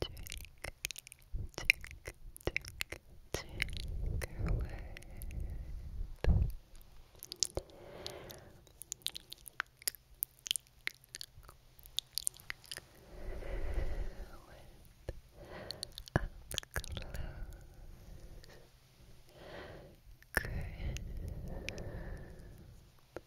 Trigger, trigger, trigger, trigger word. With up close Chris Whisper,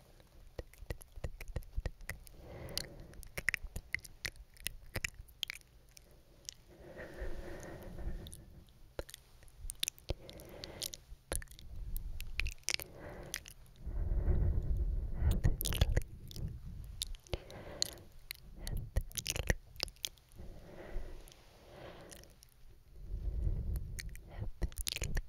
Heavenly,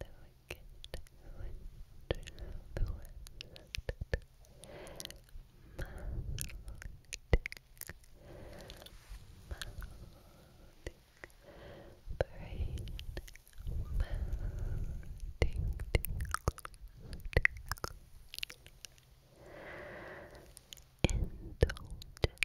the wicked witch of the west, Maledic, Maledic, brain, Maledic, tickle, tickle, indulgent,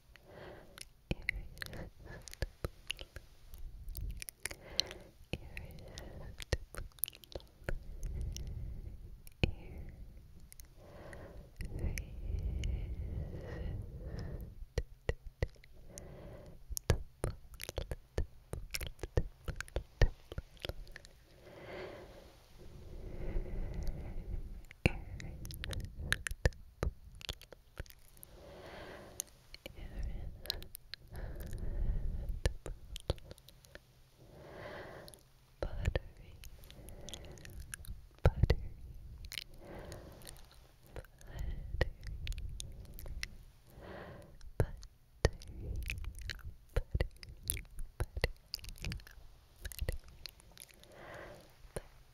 Irresistible buttery, buttery, buttery, buttery, buttery, buttery, buttery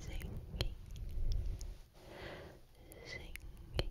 Singing, singing, singing,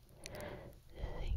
Juicy